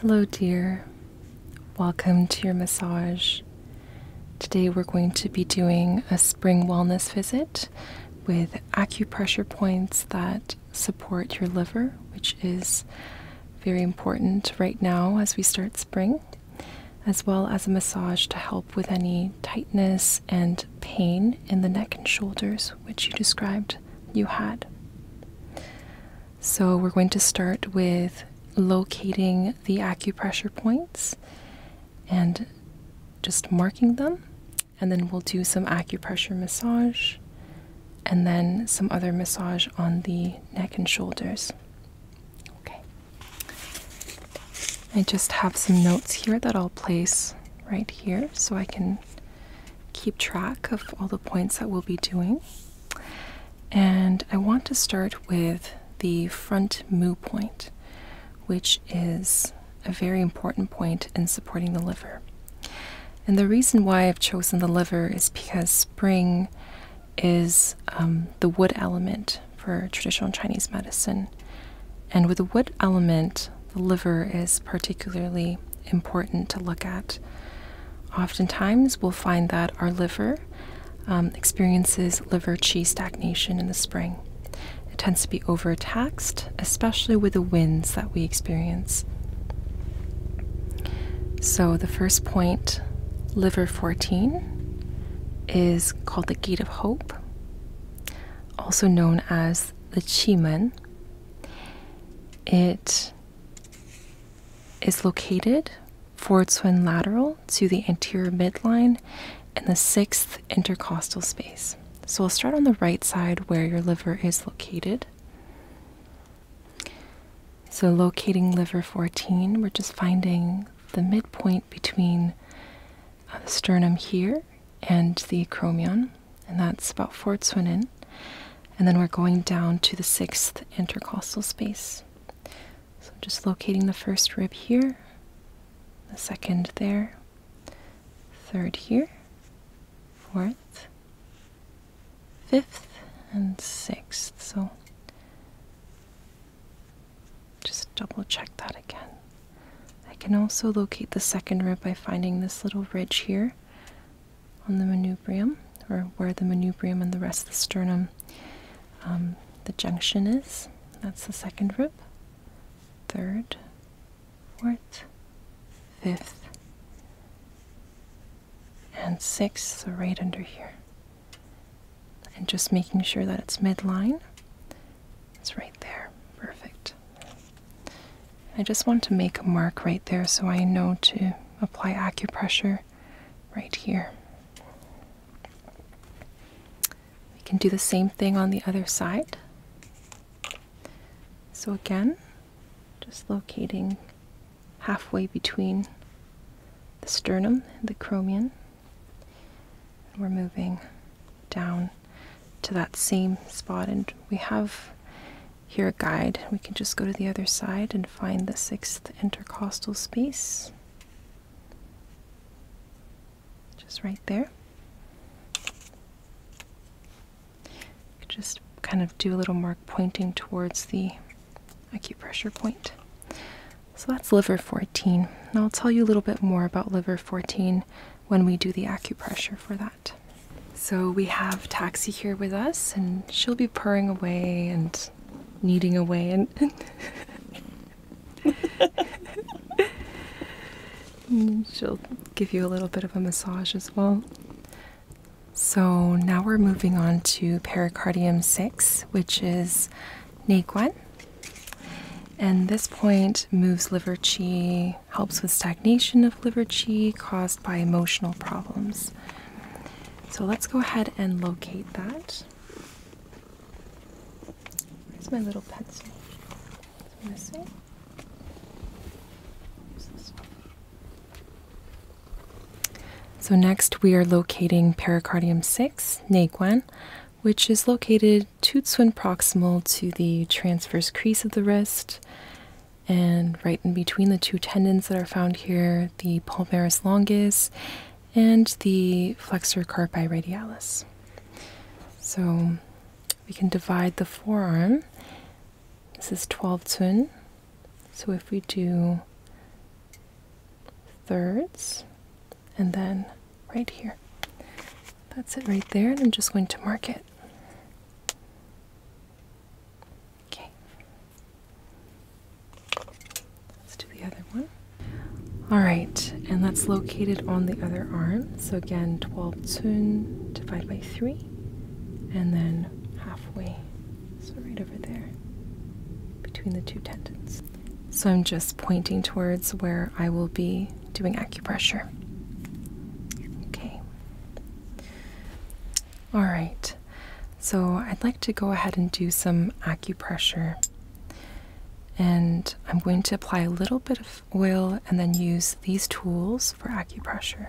Hello, dear. Welcome to your massage. Today, we're going to be doing a spring wellness visit with acupressure points that support your liver, which is very important right now as we start spring, as well as a massage to help with any tightness and pain in the neck and shoulders, which you described you had. So, we're going to start with locating the acupressure points and just marking them, and then we'll do some acupressure massage and then some other massage on the neck and shoulders. Okay. I just have some notes here that I'll place right here so I can keep track of all the points that we'll be doing. And I want to start with the front moo point, which is a very important point in supporting the liver. And the reason why I've chosen the liver is because spring is um, the wood element for traditional Chinese medicine. And with the wood element, the liver is particularly important to look at. Oftentimes, we'll find that our liver um, experiences liver qi stagnation in the spring. It tends to be overtaxed, especially with the winds that we experience. So, the first point, liver 14, is called the Gate of Hope also known as the Chimen. It is located forward swing lateral to the anterior midline and the sixth intercostal space. So we'll start on the right side where your liver is located. So, locating liver 14, we're just finding the midpoint between uh, the sternum here and the acromion, and that's about Fortswinen. And then we're going down to the sixth intercostal space. So just locating the first rib here, the second there, third here, fourth, fifth, and sixth. So just double check that again. I can also locate the second rib by finding this little ridge here on the manubrium, or where the manubrium and the rest of the sternum, um, the junction is. That's the second rib. Third, fourth, fifth, and sixth, so right under here. And just making sure that it's midline it's right there. Perfect. I just want to make a mark right there so I know to apply acupressure right here. We can do the same thing on the other side. So again, just locating halfway between the sternum and the chromium we're moving down to that same spot, and we have here a guide. We can just go to the other side and find the sixth intercostal space, just right there. Just kind of do a little mark pointing towards the acupressure point. So that's liver 14. Now I'll tell you a little bit more about liver 14 when we do the acupressure for that. So we have Taxi here with us, and she'll be purring away and kneading away and. Mm, she'll give you a little bit of a massage as well. So now we're moving on to pericardium 6, which is Naquan. And this point moves liver qi, helps with stagnation of liver qi caused by emotional problems. So let's go ahead and locate that. Where's my little pencil? missing. So next we are locating pericardium 6, Naguan, which is located two-twin proximal to the transverse crease of the wrist, and right in between the two tendons that are found here, the palmaris longus and the flexor carpi radialis. So we can divide the forearm. This is 12 twin. So if we do thirds and then right here. That's it right there, and I'm just going to mark it. Okay. Let's do the other one. Alright, and that's located on the other arm. So again, 12 tsun divided by 3, and then halfway. So right over there, between the two tendons. So I'm just pointing towards where I will be doing acupressure. Okay. All right. So I'd like to go ahead and do some acupressure. And I'm going to apply a little bit of oil and then use these tools for acupressure.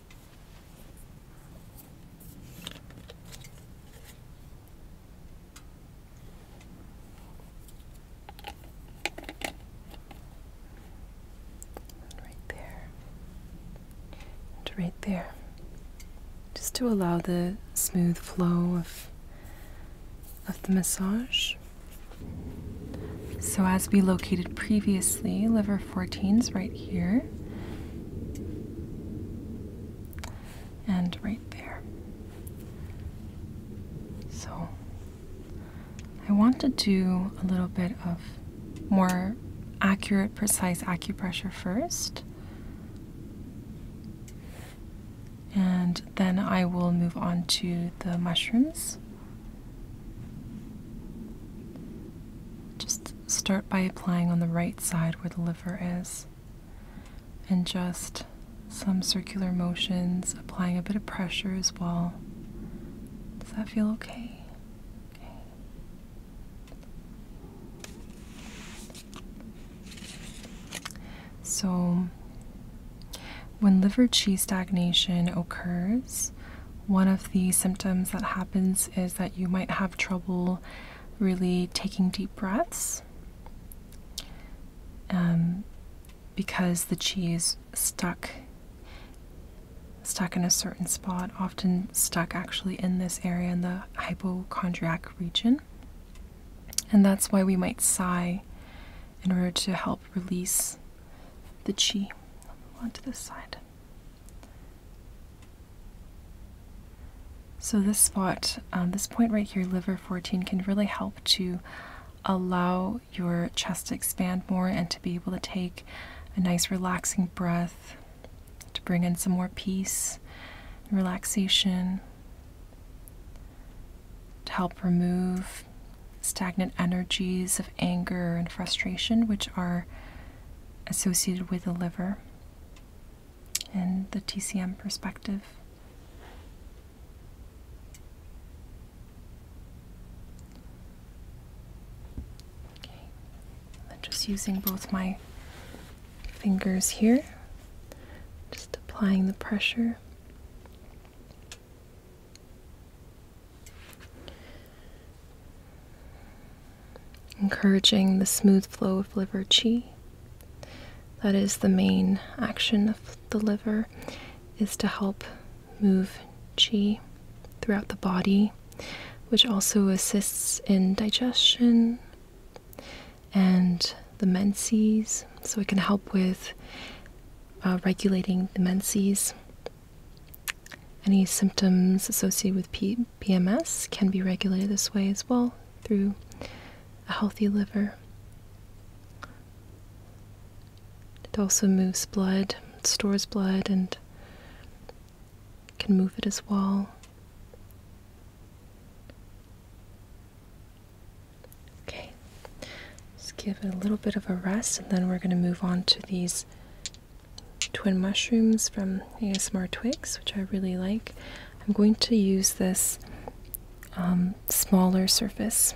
And right there. And right there. Just to allow the smooth flow of of the massage. So as we located previously, liver 14s right here and right there. So I want to do a little bit of more accurate, precise acupressure first. And then I will move on to the mushrooms. Just start by applying on the right side where the liver is, and just some circular motions, applying a bit of pressure as well. Does that feel okay? Okay. So, when liver qi stagnation occurs, one of the symptoms that happens is that you might have trouble really taking deep breaths um, because the chi is stuck stuck in a certain spot, often stuck actually in this area in the hypochondriac region. And that's why we might sigh in order to help release the chi. Onto this side. So this spot, um, this point right here, liver 14, can really help to allow your chest to expand more and to be able to take a nice relaxing breath, to bring in some more peace, relaxation, to help remove stagnant energies of anger and frustration, which are associated with the liver in the TCM perspective. Okay, I'm just using both my fingers here, just applying the pressure. Encouraging the smooth flow of liver qi. That is the main action of the liver is to help move qi throughout the body, which also assists in digestion and the menses, so it can help with uh, regulating the menses any symptoms associated with PMS can be regulated this way as well through a healthy liver. It also moves blood, stores blood, and can move it as well. Okay, just give it a little bit of a rest, and then we're going to move on to these twin mushrooms from ASMR Twigs, which I really like. I'm going to use this um, smaller surface.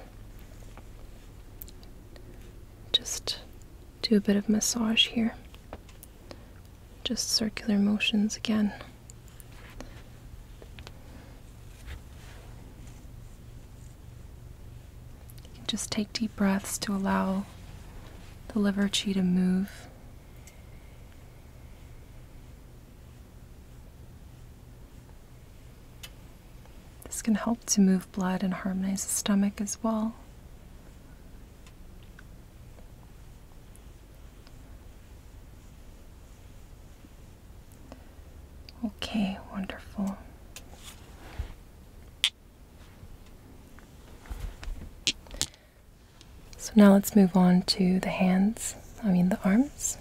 Just do a bit of massage here. Just circular motions again just take deep breaths to allow the liver chi to move. This can help to move blood and harmonize the stomach as well. Okay, wonderful. So now let's move on to the hands, I mean the arms.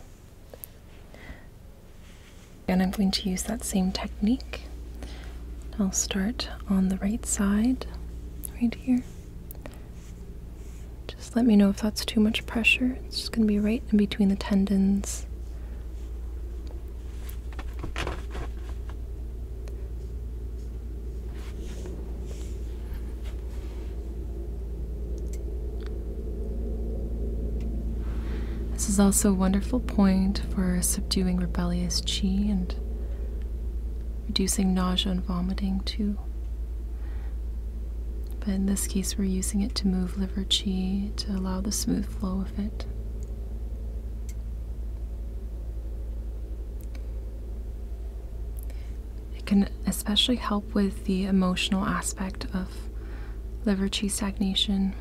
And I'm going to use that same technique. I'll start on the right side, right here. Just let me know if that's too much pressure. It's just going to be right in between the tendons. This is also a wonderful point for subduing rebellious chi and reducing nausea and vomiting too. But in this case, we're using it to move liver chi to allow the smooth flow it. can especially help with the emotional aspect of liver cheese stagnation.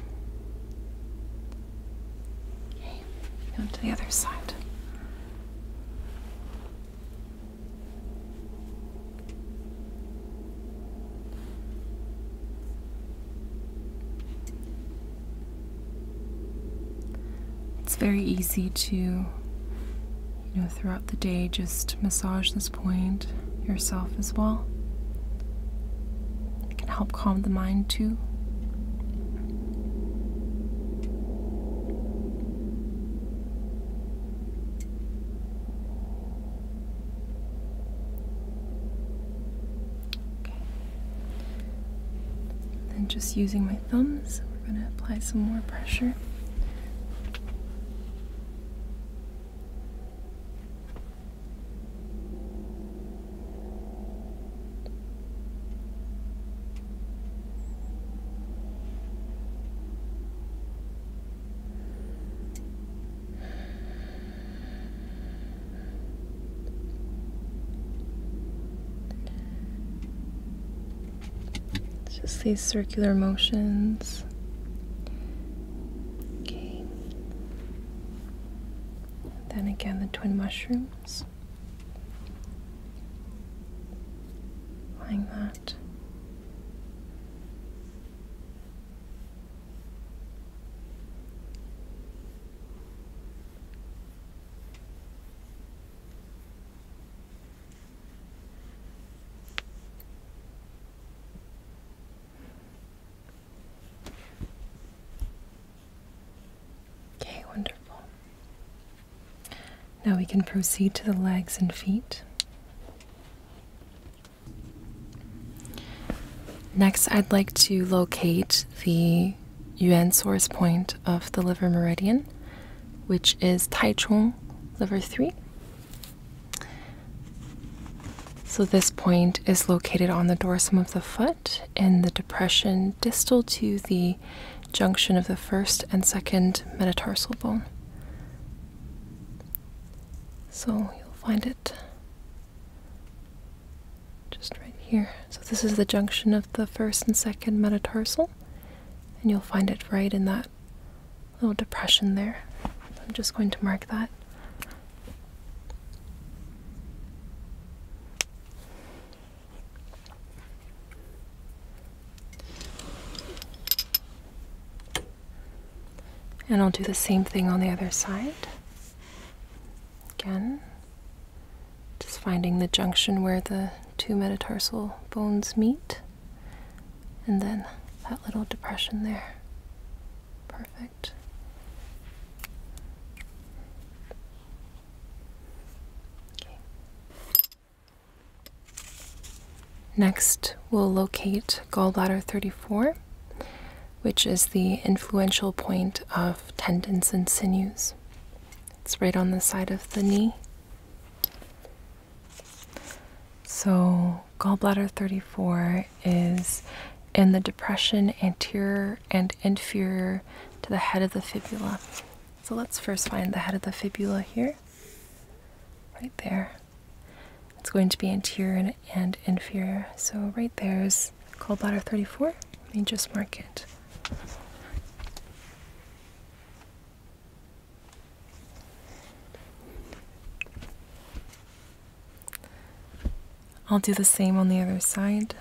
Okay, to the other side. It's very easy to, you know, throughout the day just massage this point yourself as well. It can help calm the mind too. Okay. And just using my thumbs, we're going to apply some more pressure just these circular motions. Okay. Then again, the twin mushrooms. Applying that. Okay, wonderful. Now we can proceed to the legs and feet. Next, I'd like to locate the yuan source point of the liver meridian, which is Taichung Liver 3. So, this point is located on the dorsum of the foot in the depression distal to the junction of the first and second metatarsal bone. So, you'll find it just right here. So this is the junction of the first and second metatarsal, and you'll find it right in that little depression there. I'm just going to mark that. And I'll do the same thing on the other side. Again, just finding the junction where the two metatarsal bones meet, and then that little depression there. Perfect. Next, we'll locate gallbladder 34 which is the influential point of tendons and sinews. It's right on the side of the knee. So, gallbladder 34 is in the depression anterior and inferior to the head of the fibula. So, let's first find the head of the fibula here, right there. It's going to be anterior and inferior. So, right there's Cold gallbladder 34. Let me just mark it. I'll do the same on the other side.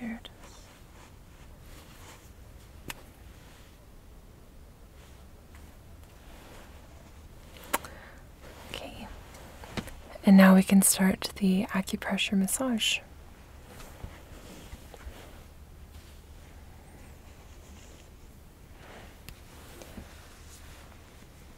There it is. Okay, and now we can start the acupressure massage.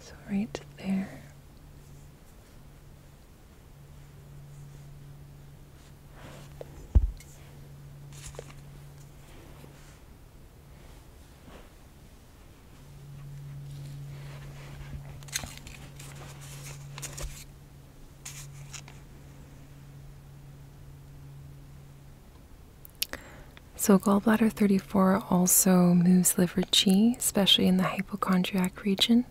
So right there. So, gallbladder 34 also moves liver qi, especially in the hypochondriac region.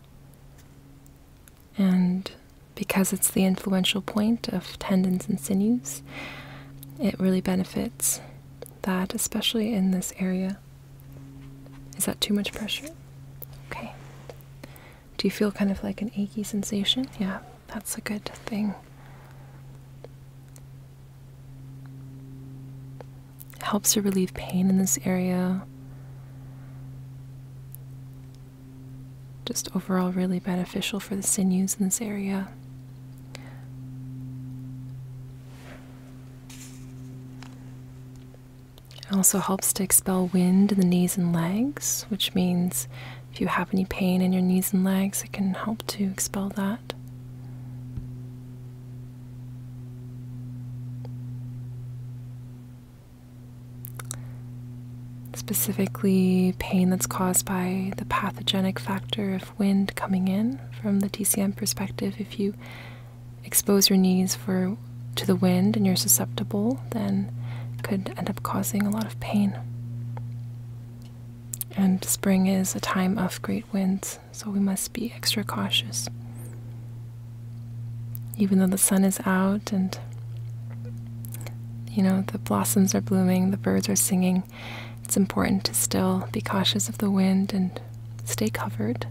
And because it's the influential point of tendons and sinews, it really benefits that, especially in this area. Is that too much pressure? Okay. Do you feel kind of like an achy sensation? Yeah. That's a good thing. helps to relieve pain in this area. Just overall, really beneficial for the sinews in this area. also helps to expel wind in the knees and legs, which means if you have any pain in your knees and legs, it can help to expel that. Specifically, pain that's caused by the pathogenic factor of wind coming in from the TCM perspective. If you expose your knees for to the wind and you're susceptible, then it could end up causing a lot of pain. And spring is a time of great winds, so we must be extra cautious. Even though the sun is out and you know, the blossoms are blooming, the birds are singing. It's important to still be cautious of the wind and stay covered,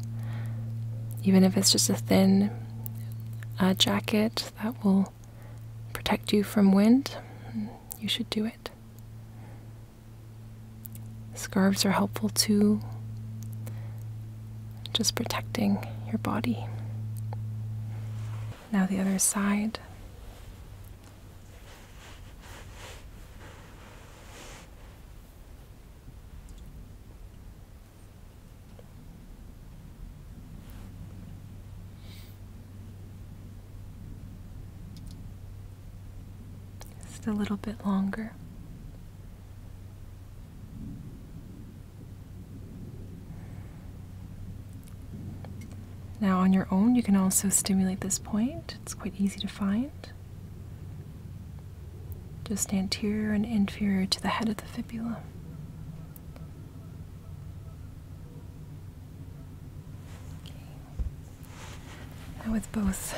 even if it's just a thin uh, jacket that will protect you from wind. You should do it. Scarves are helpful too, just protecting your body. Now, the other side. Just a little bit longer. Now, on your own, you can also stimulate this point. It's quite easy to find. Just anterior and inferior to the head of the fibula. Now with both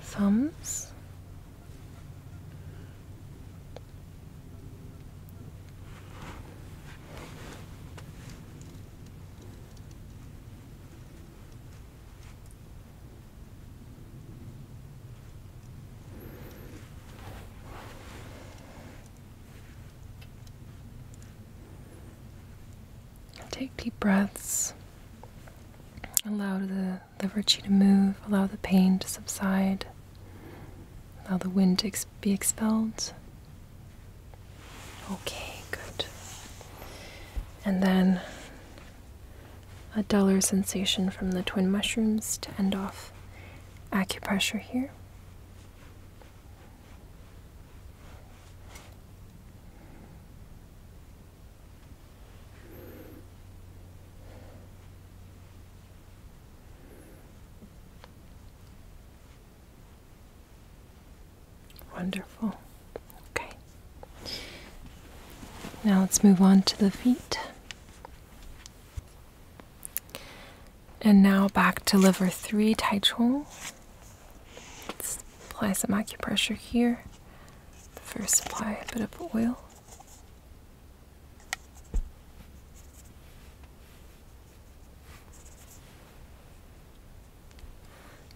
thumbs take deep breaths. Allow the, the virtue to move, allow the pain to subside, allow the wind to be expelled. Okay, good. And then a duller sensation from the twin mushrooms to end off acupressure here. Wonderful. Okay. Now let's move on to the feet. And now back to liver 3 Tai Chong. Let's apply some acupressure here. First, apply a bit of oil.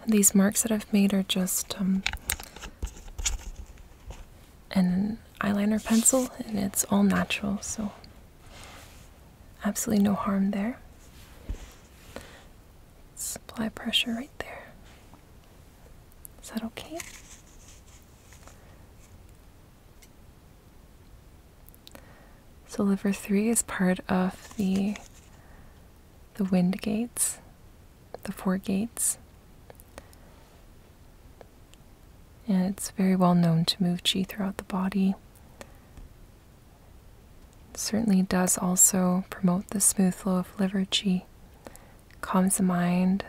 these marks that I've made are just um, an eyeliner pencil, and it's all natural, so Absolutely no harm there. Supply pressure right there. Is that okay? So liver 3 is part of the the wind gates, the four gates. And it's very well known to move chi throughout the body certainly does also promote the smooth flow of liver qi, calms the mind.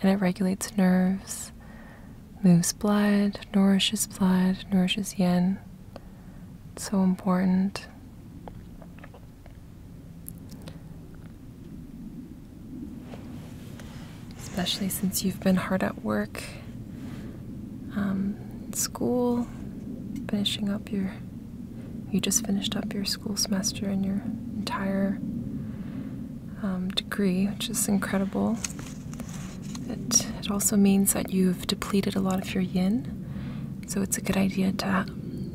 And it regulates nerves, moves blood, nourishes blood, nourishes yin. so important. Especially since you've been hard at work, um, school, finishing up your. You just finished up your school semester and your entire um, degree, which is incredible. It, it also means that you've depleted a lot of your yin, so it's a good idea to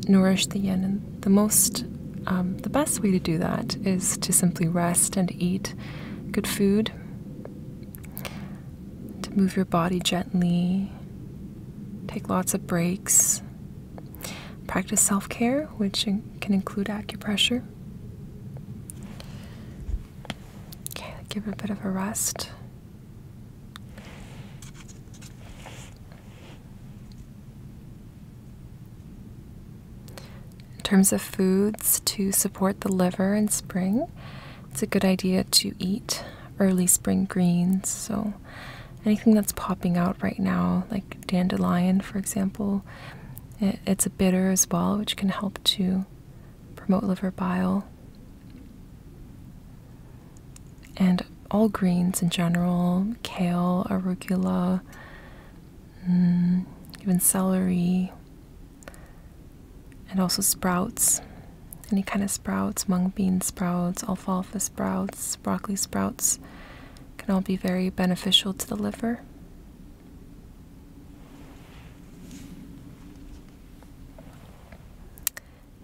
nourish the yin. And the most um, the best way to do that is to simply rest and eat good food, to move your body gently, take lots of breaks, practice self care, which can include acupressure. Okay, give it a bit of a rest. In terms of foods to support the liver in spring, it's a good idea to eat early spring greens. So, anything that's popping out right now, like dandelion, for example, it's a bitter as well, which can help to promote liver bile. And all greens in general, kale, arugula, mm, even celery, and also sprouts. Any kind of sprouts, mung bean sprouts, alfalfa sprouts, broccoli sprouts can all be very beneficial to the liver.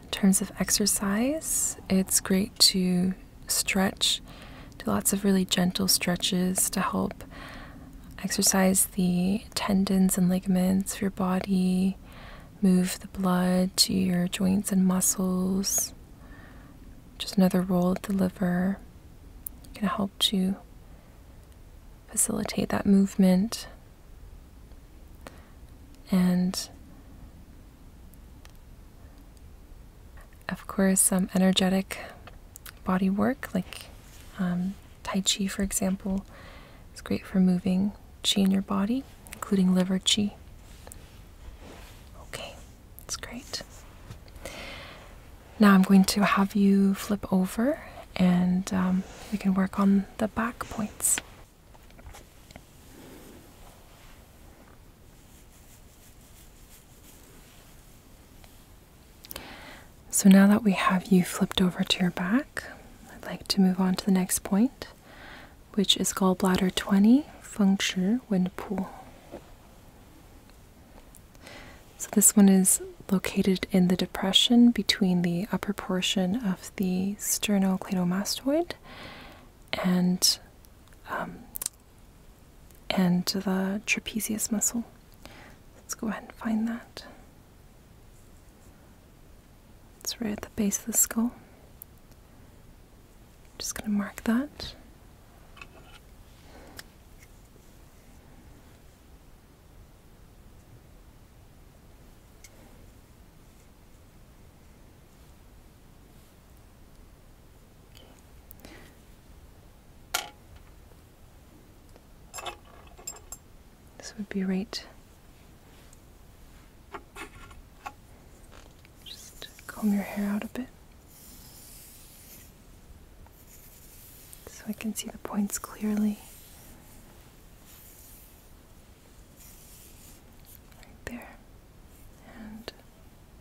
In terms of exercise, it's great to stretch, do lots of really gentle stretches to help exercise the tendons and ligaments of your body, move the blood to your joints and muscles. Just another role of the liver can help to facilitate that movement and of course, some um, energetic body work like um, Tai Chi, for example, is great for moving Qi in your body, including liver Qi. Okay, that's great. Now I'm going to have you flip over and um, we can work on the back points. So now that we have you flipped over to your back, I'd like to move on to the next point, which is gallbladder 20, Feng Shi Wind Pool. So this one is located in the depression between the upper portion of the sternocleidomastoid and um, and the trapezius muscle. Let's go ahead and find that. It's right at the base of the skull. just going to mark that. This would be right. Just comb your hair out a bit so I can see the points clearly. Right there. And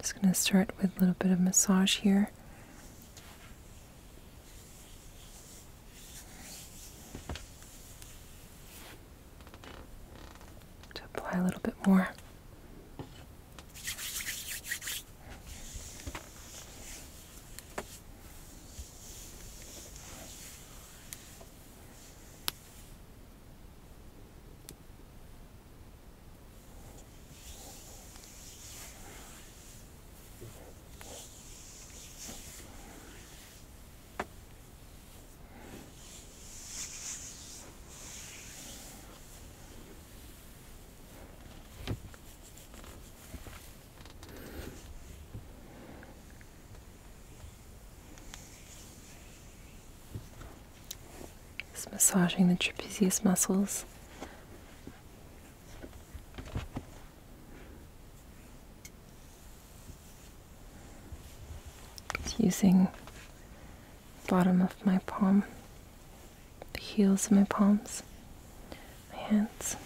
Just going to start with a little bit of massage here to apply a little bit more. It's massaging the trapezius muscles. It's using bottom of my palm, the heels of my palms, my hands.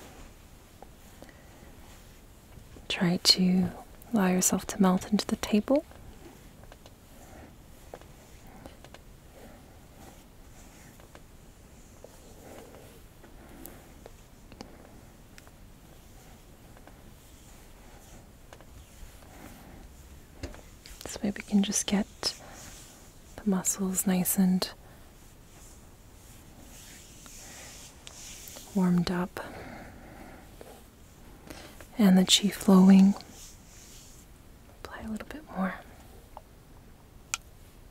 Try to allow yourself to melt into the table. This way we can just get the muscles nice and warmed up and the chi flowing. Apply a little bit more.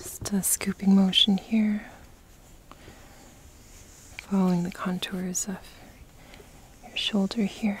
Just a scooping motion here, following the contours of your shoulder here.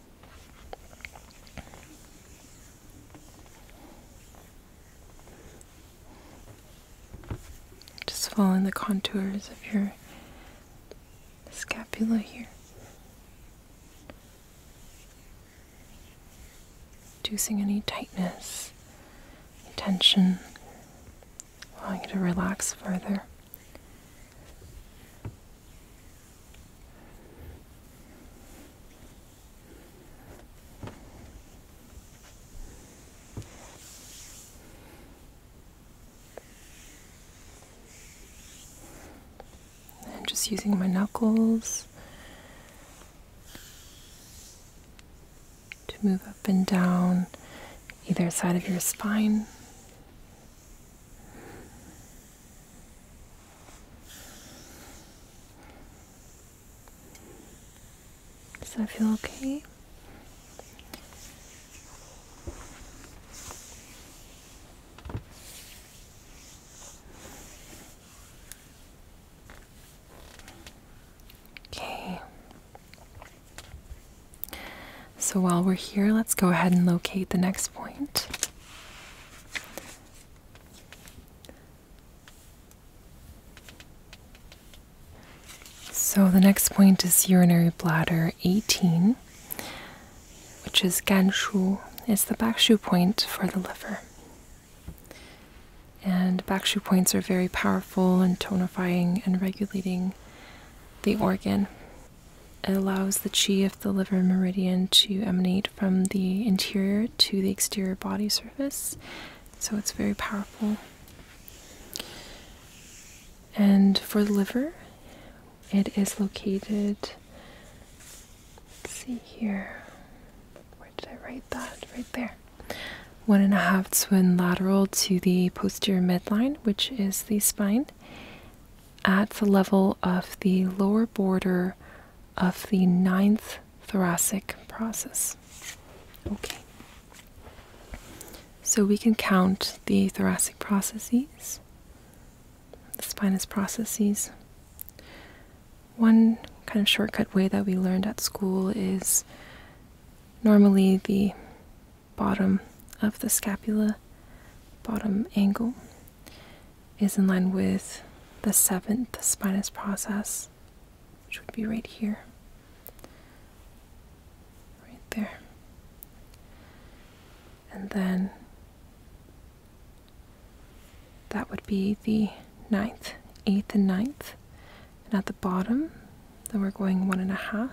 Just following the contours of your scapula here. Reducing any tightness, tension, allowing you to relax further. And just using my knuckles to move up and down either side of your spine. Does that feel okay? Okay. So while we're here, let's go ahead and locate the next point. So the next point is urinary bladder 18, which is Gan Shu. It's the backshu point for the liver. And backshu points are very powerful in tonifying and regulating the organ. It allows the chi of the liver meridian to emanate from the interior to the exterior body surface, so it's very powerful. And for the liver, it is located. Let's see here. Where did I write that? Right there. One and a half twin lateral to the posterior midline, which is the spine, at the level of the lower border of the ninth thoracic process. Okay. So we can count the thoracic processes, the spinous processes. One kind of shortcut way that we learned at school is normally the bottom of the scapula, bottom angle is in line with the seventh spinous process, which would be right here. Right there. And then that would be the ninth, eighth, and ninth. And at the bottom, then we're going one and a half.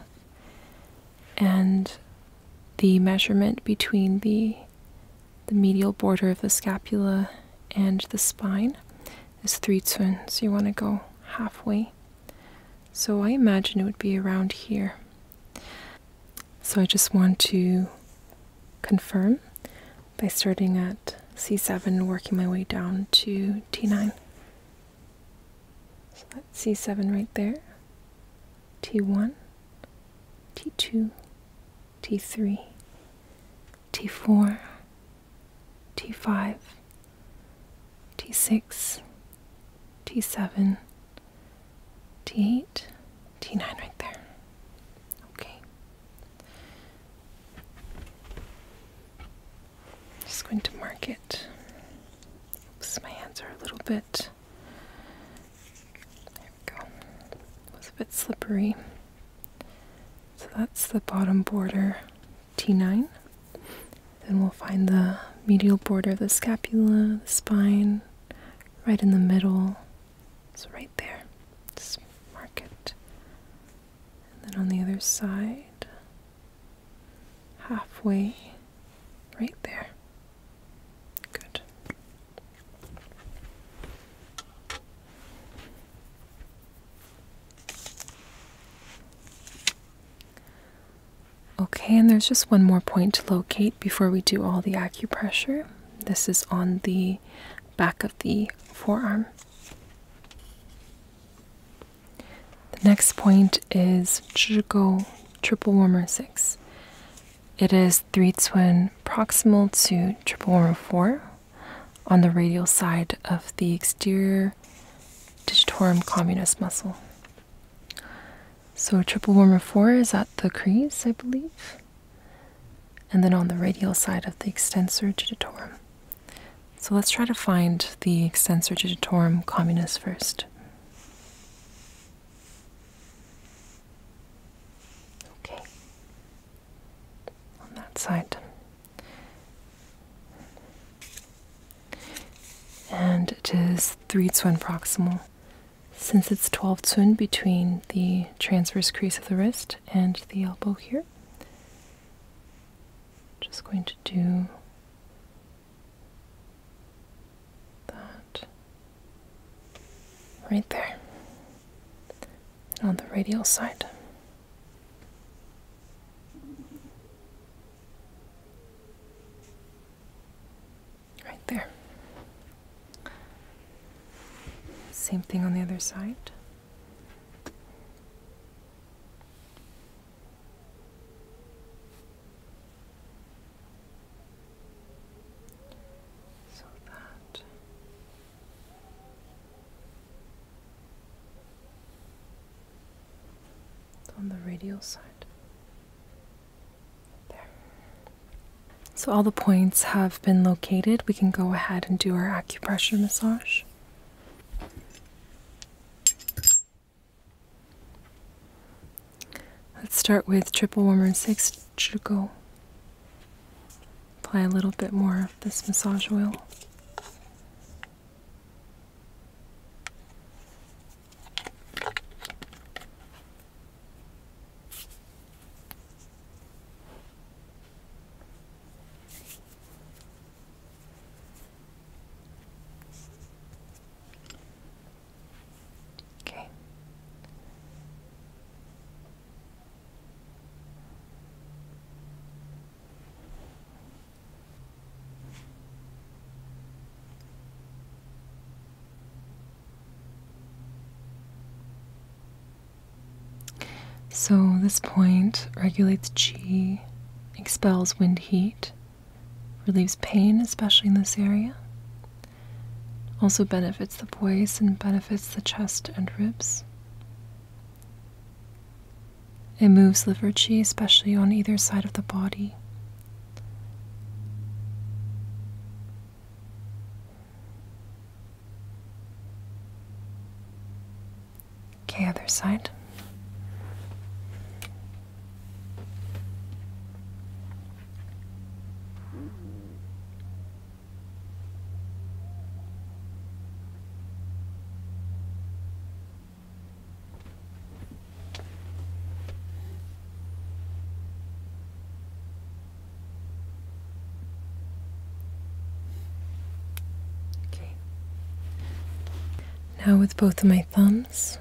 And the measurement between the the medial border of the scapula and the spine is three tsun, so you want to go halfway. So I imagine it would be around here. So I just want to confirm by starting at C7, working my way down to T9. So that's C7 right there, T1, T2, T3, T4, T5, T6, T7, T8, T9 right there. Okay. Just going to mark it. Oops, my hands are a little bit there we go. It was a bit slippery. So that's the bottom border T9. Then we'll find the medial border of the scapula, the spine, right in the middle. So right there. Just mark it. And then on the other side, halfway Right there. Good. Okay, and there's just one more point to locate before we do all the acupressure. This is on the back of the forearm. The next point is Zhigo triple warmer six. It is three twin proximal to triple one oh four on the radial side of the exterior digitorum communis muscle. So triple one oh four is at the crease, I believe, and then on the radial side of the extensor digitorum. So let's try to find the extensor digitorum communis first. Okay. On that side. And it is 3 Zun proximal. Since it's 12 Zun between the transverse crease of the wrist and the elbow here, just going to do that right there on the radial side. Right there. Same thing on the other side so that on the radial side. There. So, all the points have been located. We can go ahead and do our acupressure massage. Let's start with triple warmer six to go. Apply a little bit more of this massage oil. Okay. So, this point regulates Qi, expels wind heat, relieves pain, especially in this area. Also benefits the voice and benefits the chest and ribs. It moves liver qi, especially on either side of the body. Okay, other side. Okay. Now, with both of my thumbs,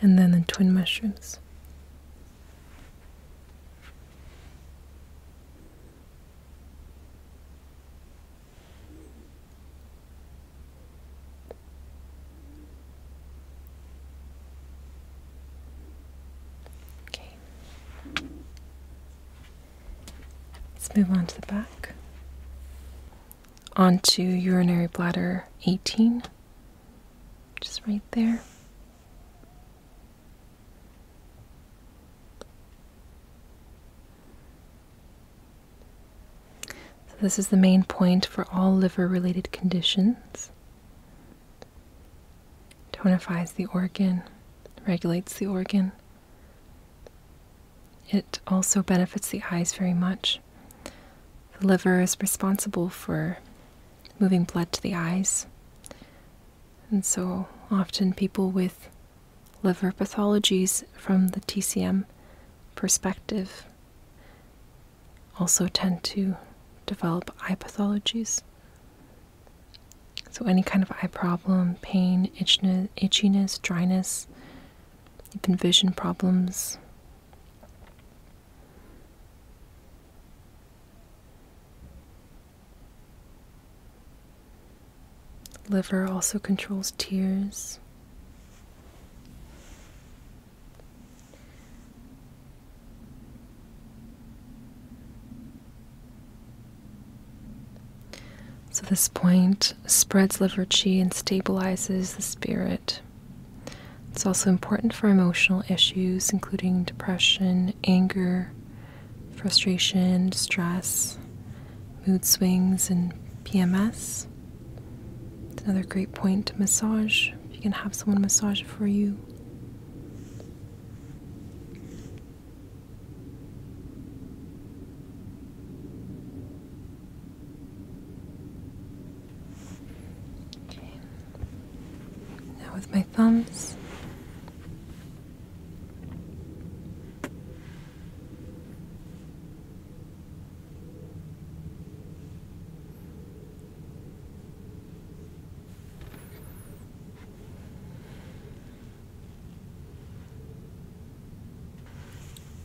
and then the twin mushrooms. Okay. Let's move on to the back. Onto urinary bladder 18, just right there. So this is the main point for all liver-related conditions. Tonifies the organ, regulates the organ. It also benefits the eyes very much. The liver is responsible for moving blood to the eyes. And so often people with liver pathologies from the TCM perspective also tend to develop eye pathologies. So, any kind of eye problem, pain, itchiness, dryness, even vision problems. Liver also controls tears. So, this point spreads liver qi and stabilizes the spirit. It's also important for emotional issues, including depression, anger, frustration, stress, mood swings, and PMS. It's another great point to massage. You can have someone massage it for you. Now with my thumbs.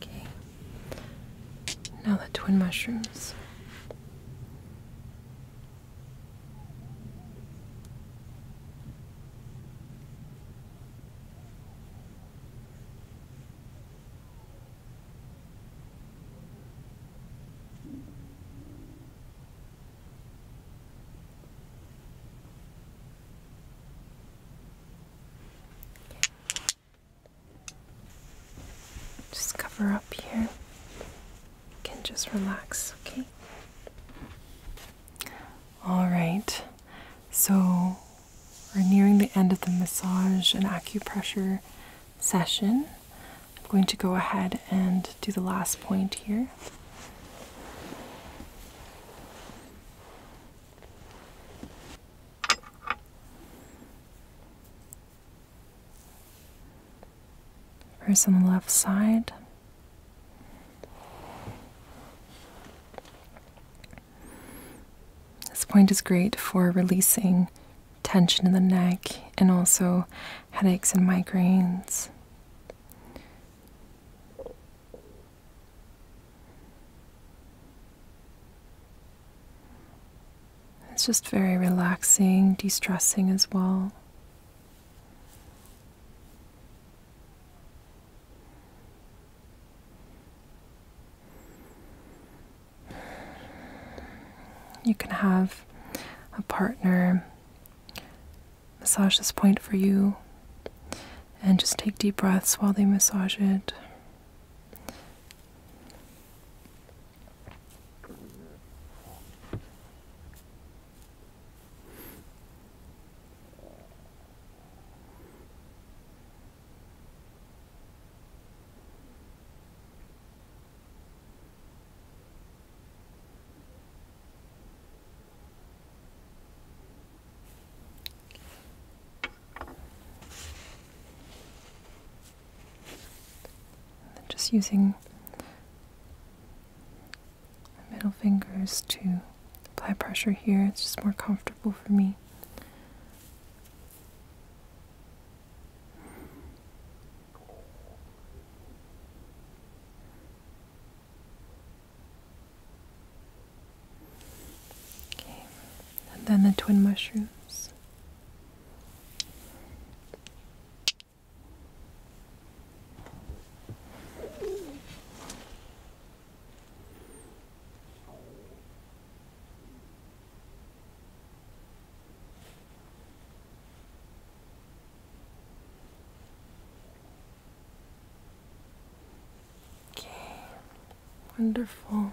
Okay. Now the twin mushrooms. Just cover up here. can just relax, okay? All right. So we're nearing the end of the massage and acupressure session. I'm going to go ahead and do the last point here. First on the left side. This point is great for releasing tension in the neck and also headaches and migraines. It's just very relaxing, de stressing as well. You can have a partner massage this point for you and just take deep breaths while they massage it just using middle fingers to apply pressure here. It's just more comfortable for me. Okay, and then the twin mushrooms. Okay, wonderful.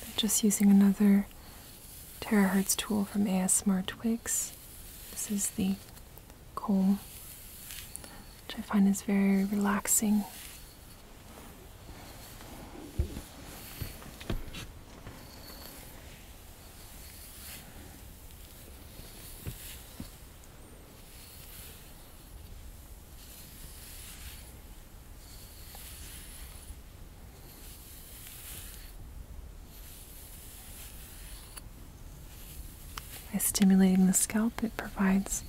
But just using another terahertz tool from ASmartWigs. This is the comb, which I find is very relaxing. By stimulating the scalp, it provides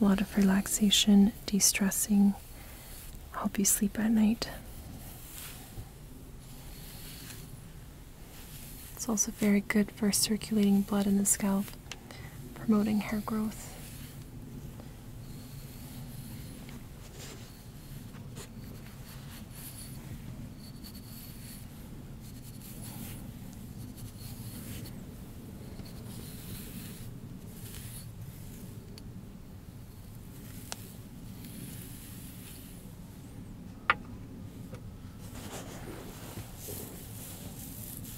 a lot of relaxation, de stressing, help you sleep at night. It's also very good for circulating blood in the scalp promoting hair growth.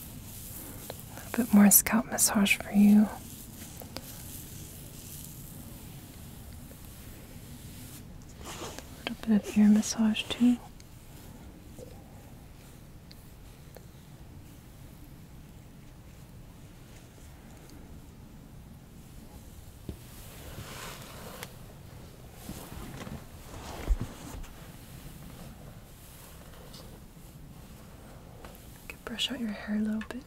A little bit more scalp massage for you. A little bit of ear massage too. I brush out your hair a little bit.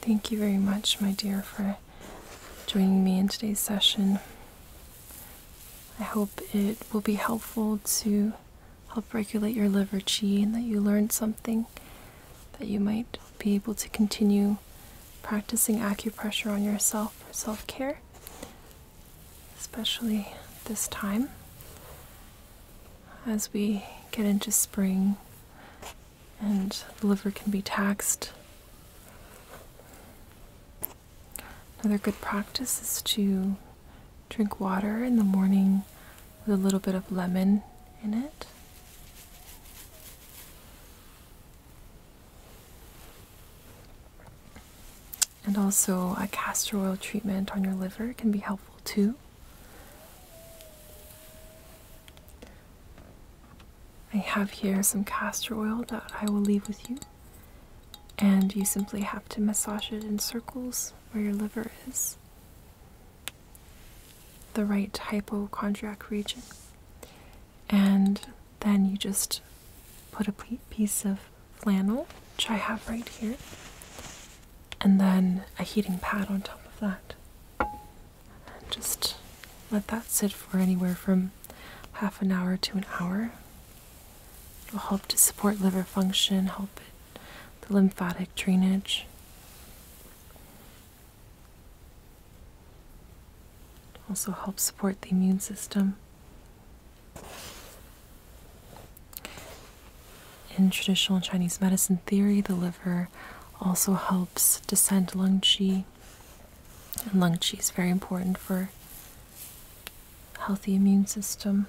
Thank you very much, my dear, for joining me in today's session. I hope it will be helpful to help regulate your liver qi and that you learned something that you might be able to continue practicing acupressure on yourself for self care, especially this time as we get into spring and the liver can be taxed. Another good practice is to drink water in the morning with a little bit of lemon in it. And also, a castor oil treatment on your liver can be helpful too. I have here some castor oil that I will leave with you, and you simply have to massage it in circles where your liver is, the right hypochondriac region, and then you just put a piece of flannel, which I have right here, and then a heating pad on top of that. And just let that sit for anywhere from half an hour to an hour. It'll help to support liver function, help it, the lymphatic drainage. Also helps support the immune system. In traditional Chinese medicine theory, the liver also helps descend lung qi, and lung qi is very important for healthy immune system.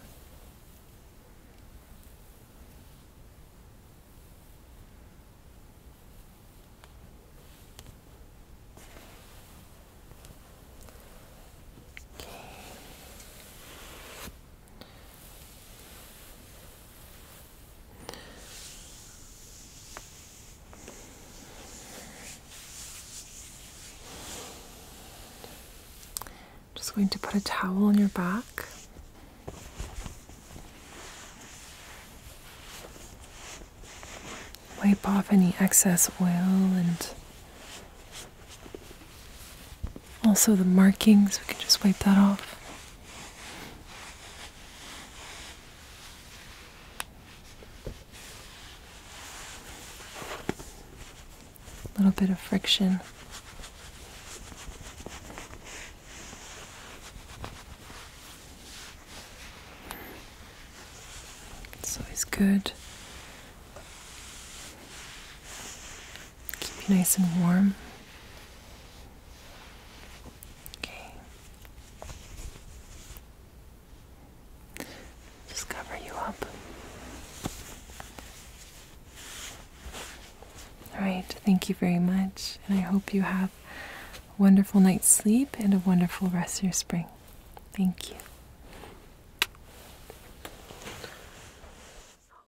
Just going to put a towel on your back. Wipe off any excess oil and also, the markings, we can just wipe that off. A little bit of friction. It's always good. Keep you nice and warm. Okay. Just cover you up. All right, thank you very much, and I hope you have a wonderful night's sleep and a wonderful rest of your spring. Thank you.